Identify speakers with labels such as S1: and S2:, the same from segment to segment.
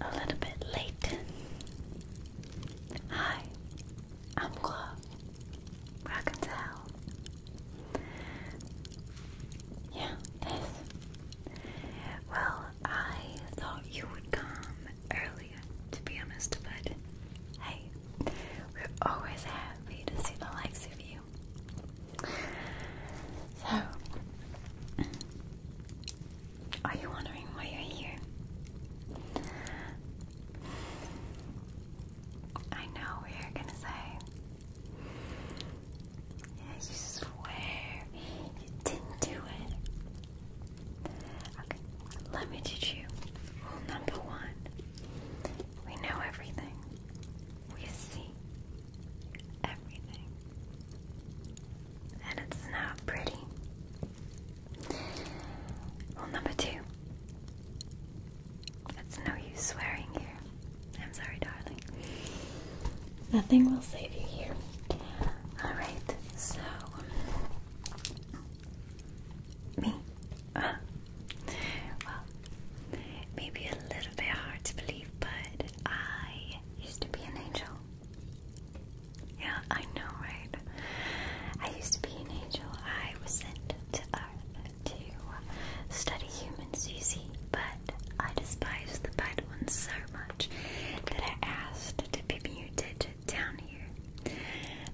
S1: A little bit late. Hi, I'm Claude. Rock and towel. Yeah, this. Well, I thought you would come earlier, to be honest, but hey, we're always happy to see the likes of you. So, are you wondering why you're here? I know we're gonna say, yeah, swear you didn't do it. Okay, let me teach you rule number one. We know everything, we see everything, and it's not pretty. Rule number two. It's no use swearing here. I'm sorry, darling. Nothing will save you here. Alright, so me? well, maybe a little bit hard to believe, but I used to be an angel. Yeah, I know, right? I used to be an angel. I was sent to Earth to study humans, you see, but I despised the bad ones so much that I asked to be muted down here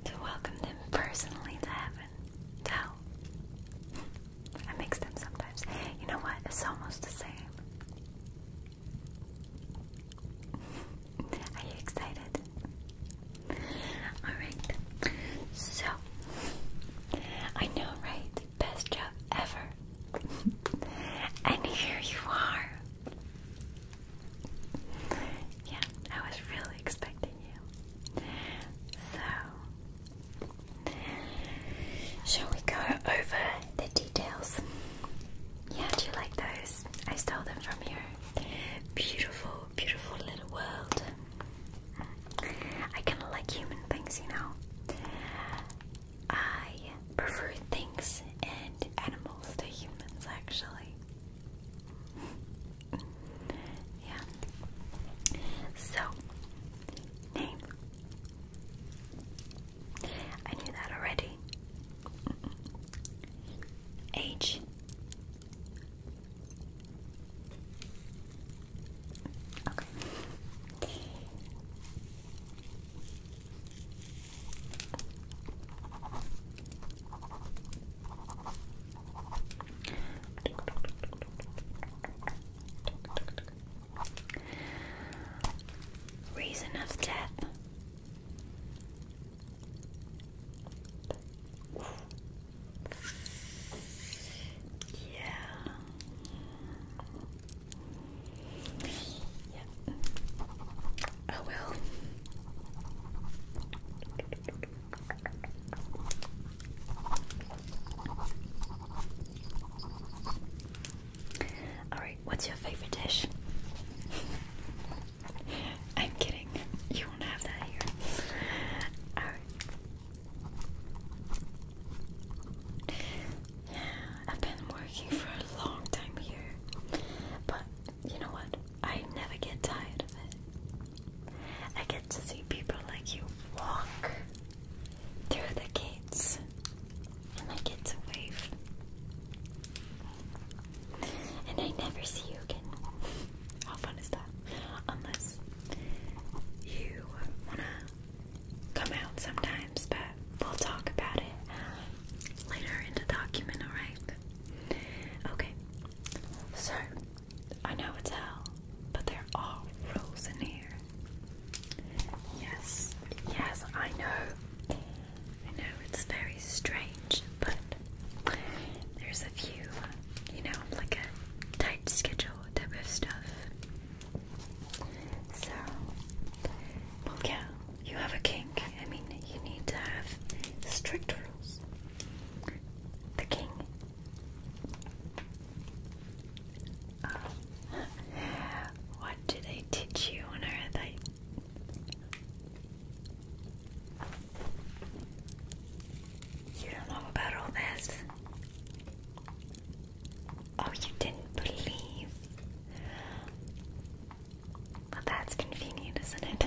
S1: to welcome them personally to heaven. To I mix them sometimes. You know what? It's almost the same. Are you excited? Alright, so I know, right? Best job ever. and here you are yeah, I was really expecting you. So, shall we go over the details? Yeah, do you like those? I stole them from your beautiful, beautiful little world. I kind of like human things, you know. I prefer things and animals to humans, actually yeah. So, name. I knew that already. Age. Okay. Reason of death. Yeah. Yeah. Oh well. Alright, what's your favorite dish? I'm kidding. You won't have that here. Yeah, I've been working for a long time here. But you know what? I never get tired of it. I get to see people like you walk through the gates, and I get to wave. And I never see you again. How fun is that? Unless you wanna come out sometimes, but we'll talk about it later in the document, alright? Okay, so I know it's hell, but there are rules in here. Yes, yes, I know. I know it's very strange, but there's a few, you know, like a tight schedule type of stuff. So, well, you have a kink. I mean, you need to have strict rules. The king. Oh. what did I teach you on earth? I you don't know about all this. Oh, you didn't believe. Well, that's convenient, isn't it?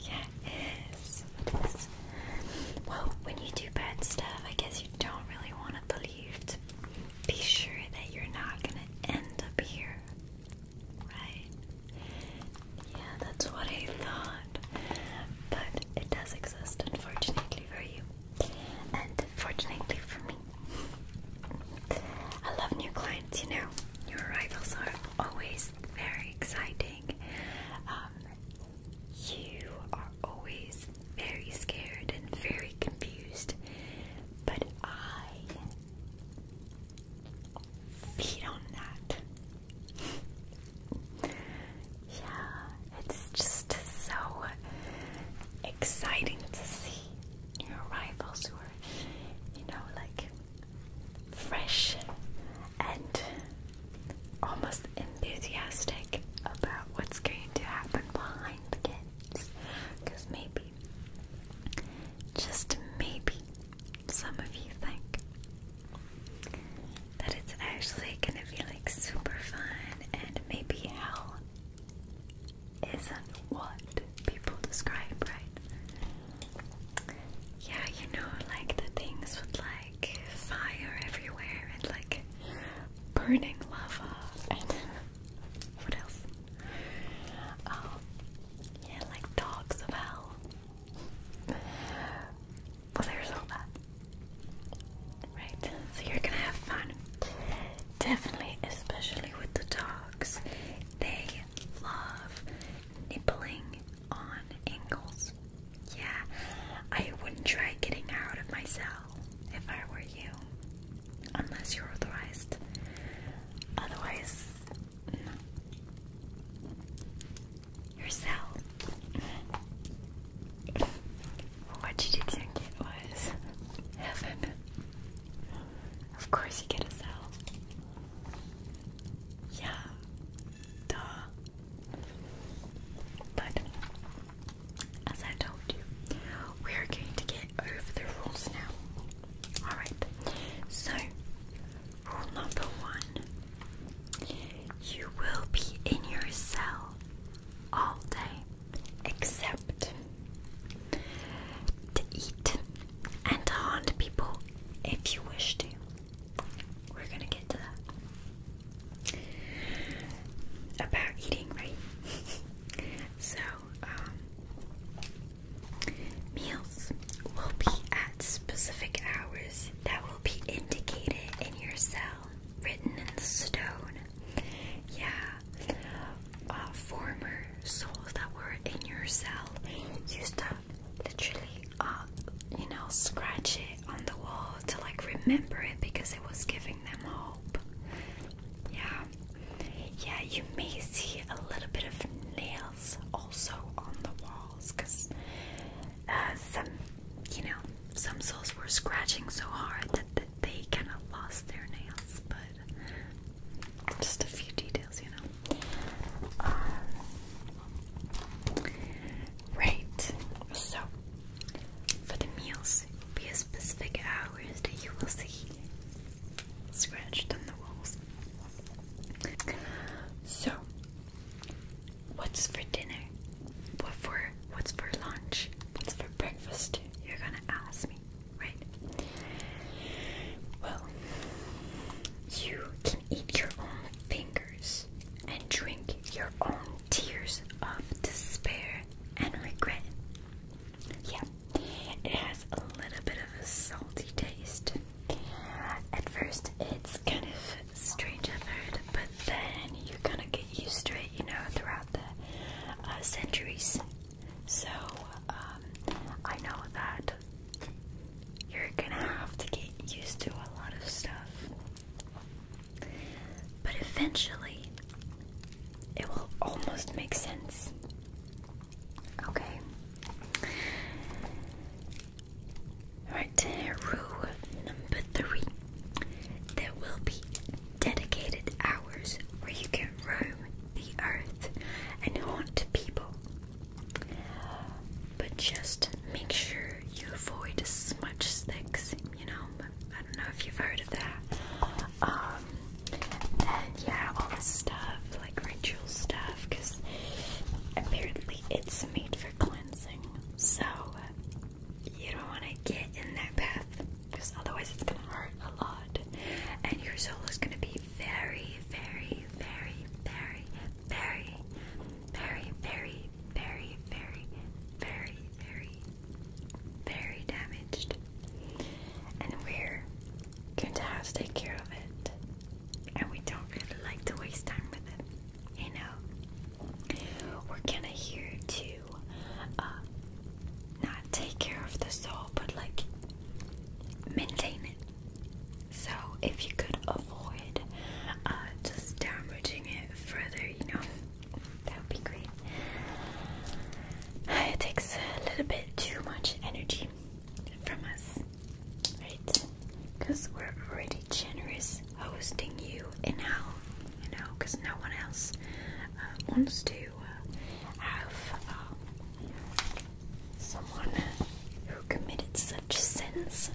S1: yeah, it is. Well, when you do bad stuff, I guess you don't really want it believed. Be sure that you're not gonna end up here. Right? Yeah, that's what I thought. But it does exist, unfortunately, for you. And fortunately for me. I love new clients you know, your rivals are always very exciting. Um, you are always very scared and very confused, but I feed on that. yeah, it's just so exciting to see your rivals who are, you know, like fresh and almost enthusiastic about what's going to happen behind the kids. Because maybe, just maybe, some of you think that it's actually gonna be like super fun and maybe hell isn't what people describe, right? Yeah, you know, like the things with like fire everywhere and like burning lava and what else? Um, yeah, like dogs of hell. Well, there's all that. Right, so you're gonna have fun. Definitely, especially with the dogs, they love nippling on ankles. Yeah, I wouldn't try getting out of my cell if I were you. Unless you're authorized. Otherwise, no. Your cell. what you didn't get was heaven. Of course you get a cell. Yeah. Duh. But as I told you, we are going to get over the rules now. Alright. So rule number one. You will be in your cell all day except to eat and to haunt people if you wish to. We're gonna get to that. About eating, right? so, um, meals will be at specific hours that will be indicated in your cell, written in stone. Yeah. Uh, former souls that were in your cell used to literally, uh, you know, scratch it on the wall to like remember it because it was giving them hope. Yeah, yeah, you may see a little bit of nails also on the walls because uh, some, you know, some souls were scratching so hard that. they kind of lost their nails, but just a few details, you know. Um, right. So, for the meals, be as specific hours that you will see scratched on the walls. So, what's for dinner? What for? What's for lunch? What's for breakfast? You're gonna ask me right? Well, you can eat your own fingers and drink your own tears of despair and regret. Yeah, it has a little bit of a salty taste. At first, it's kind of strange, I've but then you kind of get used to it, you know, throughout the uh, centuries so, um, I know that you're gonna have to get used to a lot of stuff, but eventually it will almost make sense. Okay. Alright, rule number three. There will be dedicated hours where you can roam the earth and haunt people. But just make sure you avoid smudge sticks, you know. I don't know if you've heard of that. Um, and yeah, all this stuff, like ritual stuff, because apparently it's made for cleansing. So you don't want to get in that path, because otherwise it's going to hurt a lot. And your soul is going to be very, very, very, very, very, very, very, very, very, very, very, very damaged. And we're going to have to take care of it. And we don't really like to waste time with it. You know? We're kinda here to uh not take care of the soul, but like maintain it. So if you could avoid uh, just damaging it further, you know, that would be great. It takes a little bit too much energy from us, right? Because we're already generous hosting you in hell, you know, because no one else uh, wants to have um, someone who committed such sins.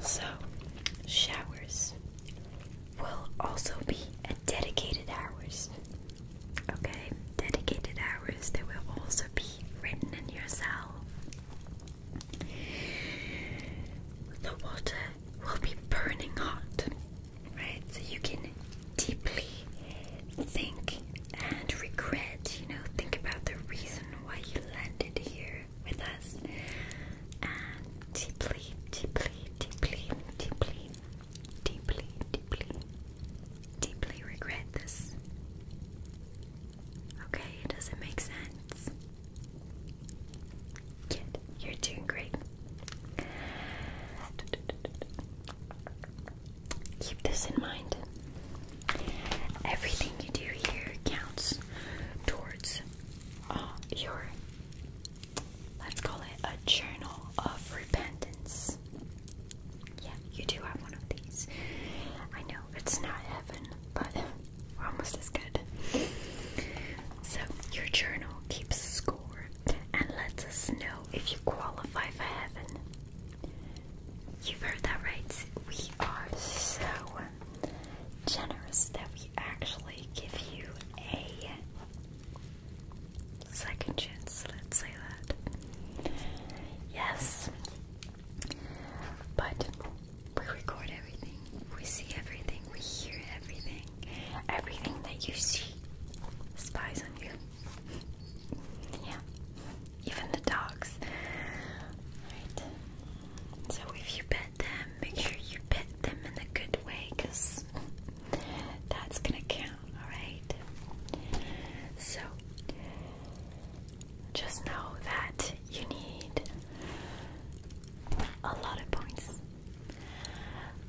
S1: So, showers will also be at dedicated hours. Okay, dedicated hours that will also be written in your cell. The water will be burning hot right? So you can deeply think and regret, you know, think about the reason why you landed here with us. And deeply, deeply, deeply, deeply, deeply, deeply, regret this. Okay, does it make sense? Good, you're doing great. Keep this in mind. Everything you do here counts towards uh, your, let's call it a journal of repentance. Yeah, you do have one of these. I know it's not heaven, but we're almost as good. So, your journal keeps score and lets us know if you qualify for heaven. You've heard that right. We are so generous that we actually give you a second chance, let's say that. Yes. But we record everything, we see everything, we hear everything. Everything that you see spies on you yeah, even the dogs. Alright, so if you pet them, make sure you pet them in a good way because that's gonna count, alright? So, just know that you need a lot of points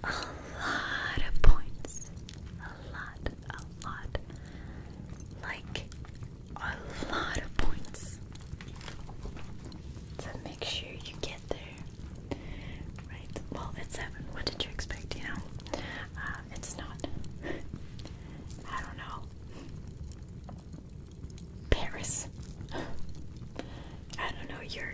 S1: a lot of points. A lot, a lot. Like, a lot of points. So make sure you get there. Right? Well, it's 7. What did you expect, you know? Uh, it's not. I don't know. Paris. I don't know, you're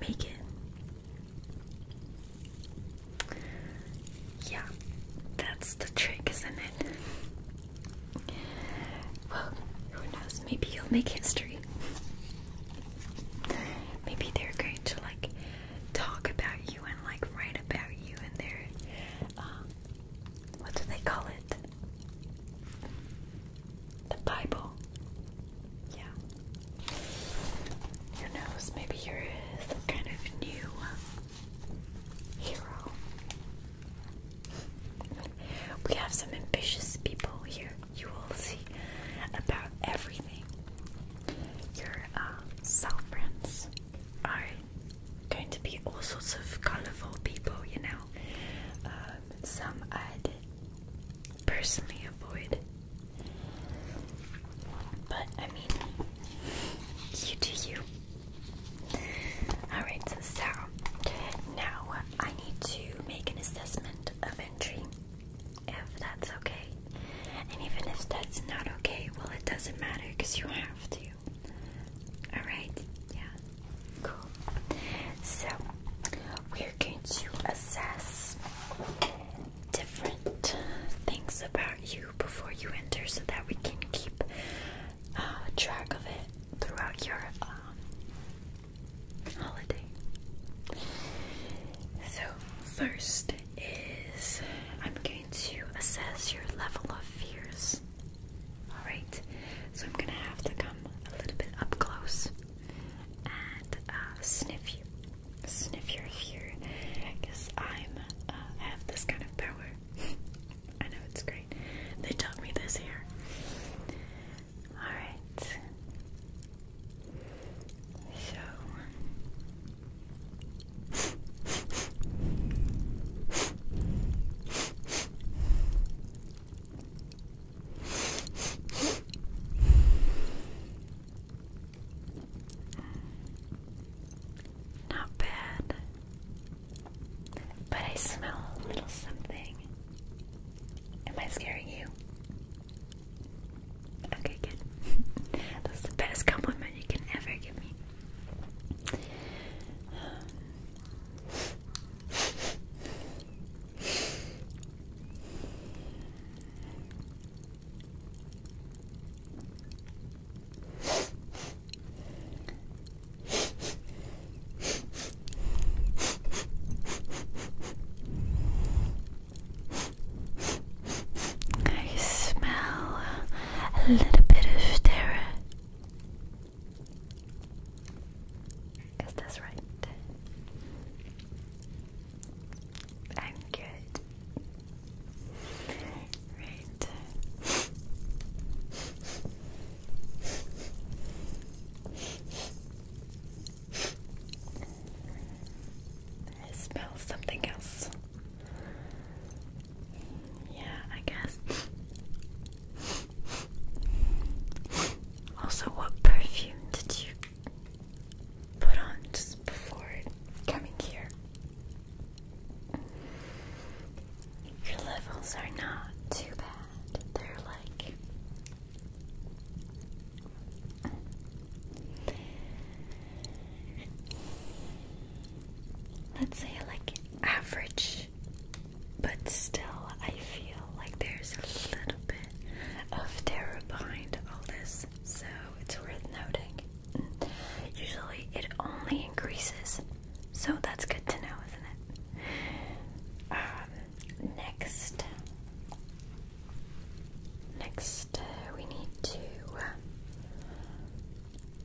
S1: make it. Yeah, that's the trick, isn't it? Well, who knows? Maybe you'll make history. Maybe they're going to like talk about you and like write about you in their um, what do they call it? The Bible. Yeah. Who knows? Maybe you're some kind of new um, hero. We have some ambitious people here. You will see about everything. Your uh, sovereigns are going to be all sorts of colorful people, you know. Uh, um, some I'd personally avoid. But I mean, you do you. Alright, so now I need to make an assessment of entry, if that's okay. And even if that's not okay, well, it doesn't matter because you have to. Alright? Yeah. Cool. So we're going to assess different things about you before you enter, so that we can keep uh, track of it throughout your um, holiday. So first is I'm going to assess your level of fears. Alright, so I'm gonna have to come a little bit up close and uh, sniff you, sniff your fear, because I'm uh, have this kind of power. I know it's great. They taught me this here. All right. So. Not bad. But I smell a little something. Am I scaring you? Okay, good. That's the best compliment you can ever give me. I smell a little bit of terror. Is this right? I'm good. Right. I smell something else. Yeah, I guess also, what perfume did you put on just before coming here? Your levels are not too bad. They're like. Let's say, like, average but still, I feel like there's a little bit of terror behind all this, so it's worth noting. Usually it only increases, so that's good to know, isn't it? Um, next, next uh, we need to uh,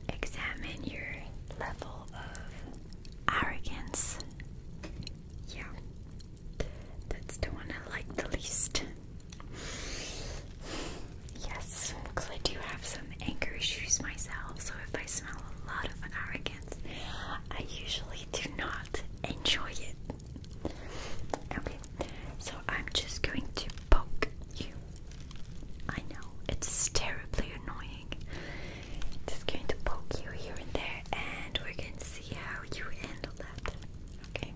S1: examine your level of arrogance. Yeah, that's the one I like the least. Yes, because I do have some angry shoes myself, so if I smell a lot of arrogance, I usually do not enjoy it. Okay, so I'm just going to poke you. I know, it's terribly annoying. Just going to poke you here and there, and we're going to see how you handle that. Okay.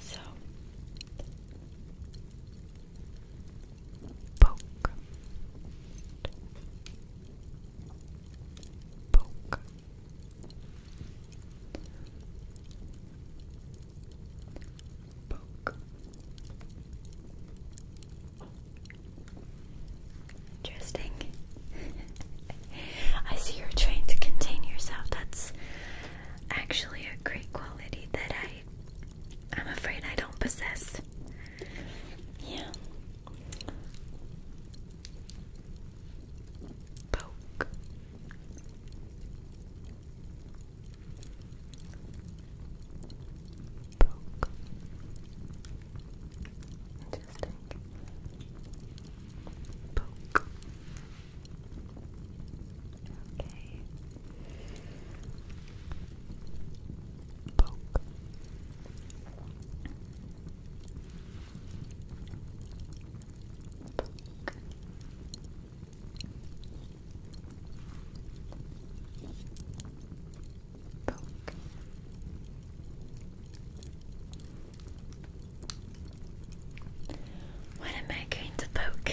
S1: So poke, poke. Poke, Interesting. I see you're trying to contain yourself. That's actually a great quality that I I'm afraid I don't possess. Yeah. Poke broke. Interesting. Poke. Okay. Poke poke. What am I going to poke?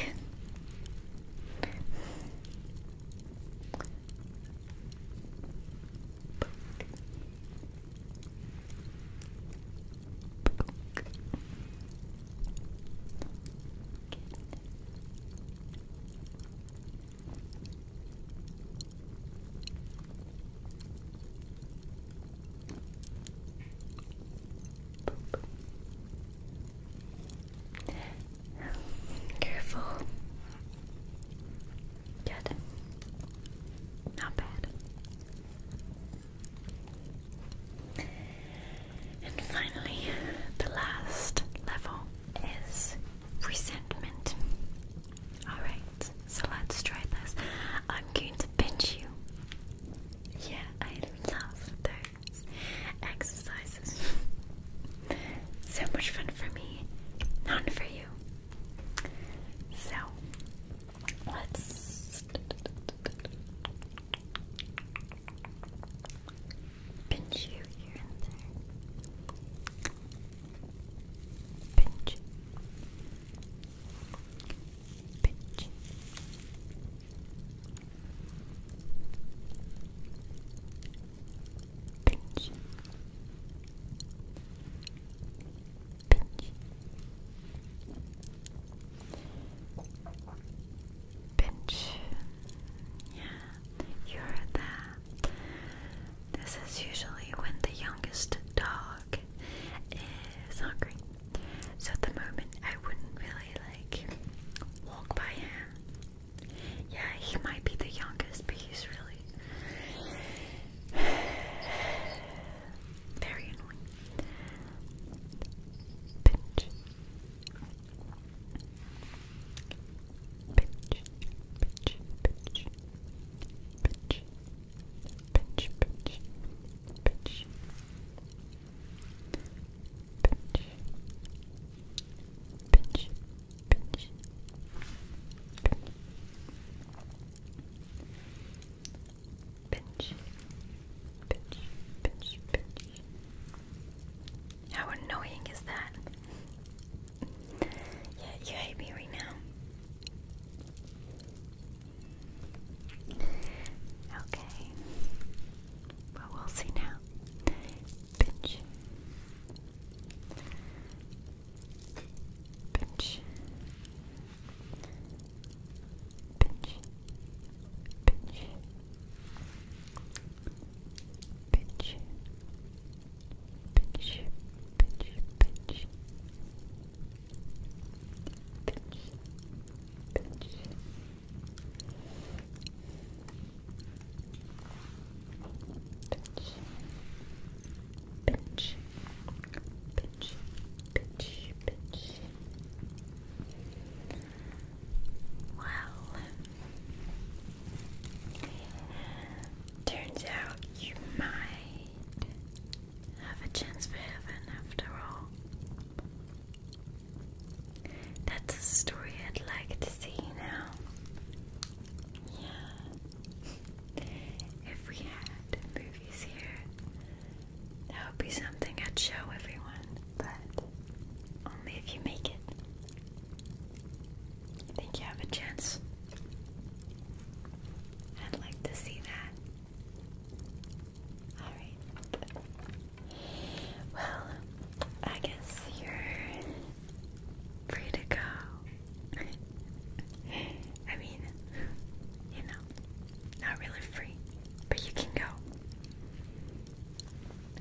S1: Careful. Good. Not bad. And finally, the last level is resentment. Alright, so let's try this. I'm going to pinch you. Yeah, I love those exercises. so much fun for me, none for you. So, let's pinch you here and there pinch, pinch. Pinch. Pinch. Pinch. Yeah, you're the this is usually when the youngest dog is hungry. So at the moment, I wouldn't really like walk by him. Yeah, he might be the youngest, but he's really very annoying. Pinch. How annoying is that? Yeah, you hate me right now. Okay. Well, we'll see now. Pinch. Pinch. Pinch. Pinch pinch, pinch, pinch, pinch, pinch, pinch. Pinch, pinch, pinch, pinch, pinch. Well, Turns out you might have a chance for heaven after all. That's a story I'd like to see now. Yeah. If we had movies here, that would be something I'd show everyone, but only if you make it. I think you have a chance. I'd like to see that. Alright. Well, I guess you're free to go. I mean, you know, not really free, but you can go.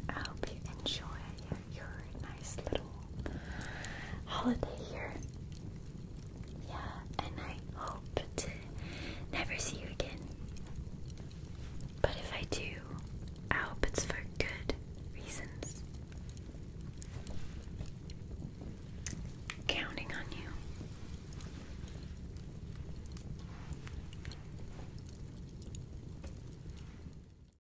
S1: I hope you enjoy your your nice little holiday here. Yeah, and I hope to never see you again. But if I do, I hope it's for good reasons. Counting on you.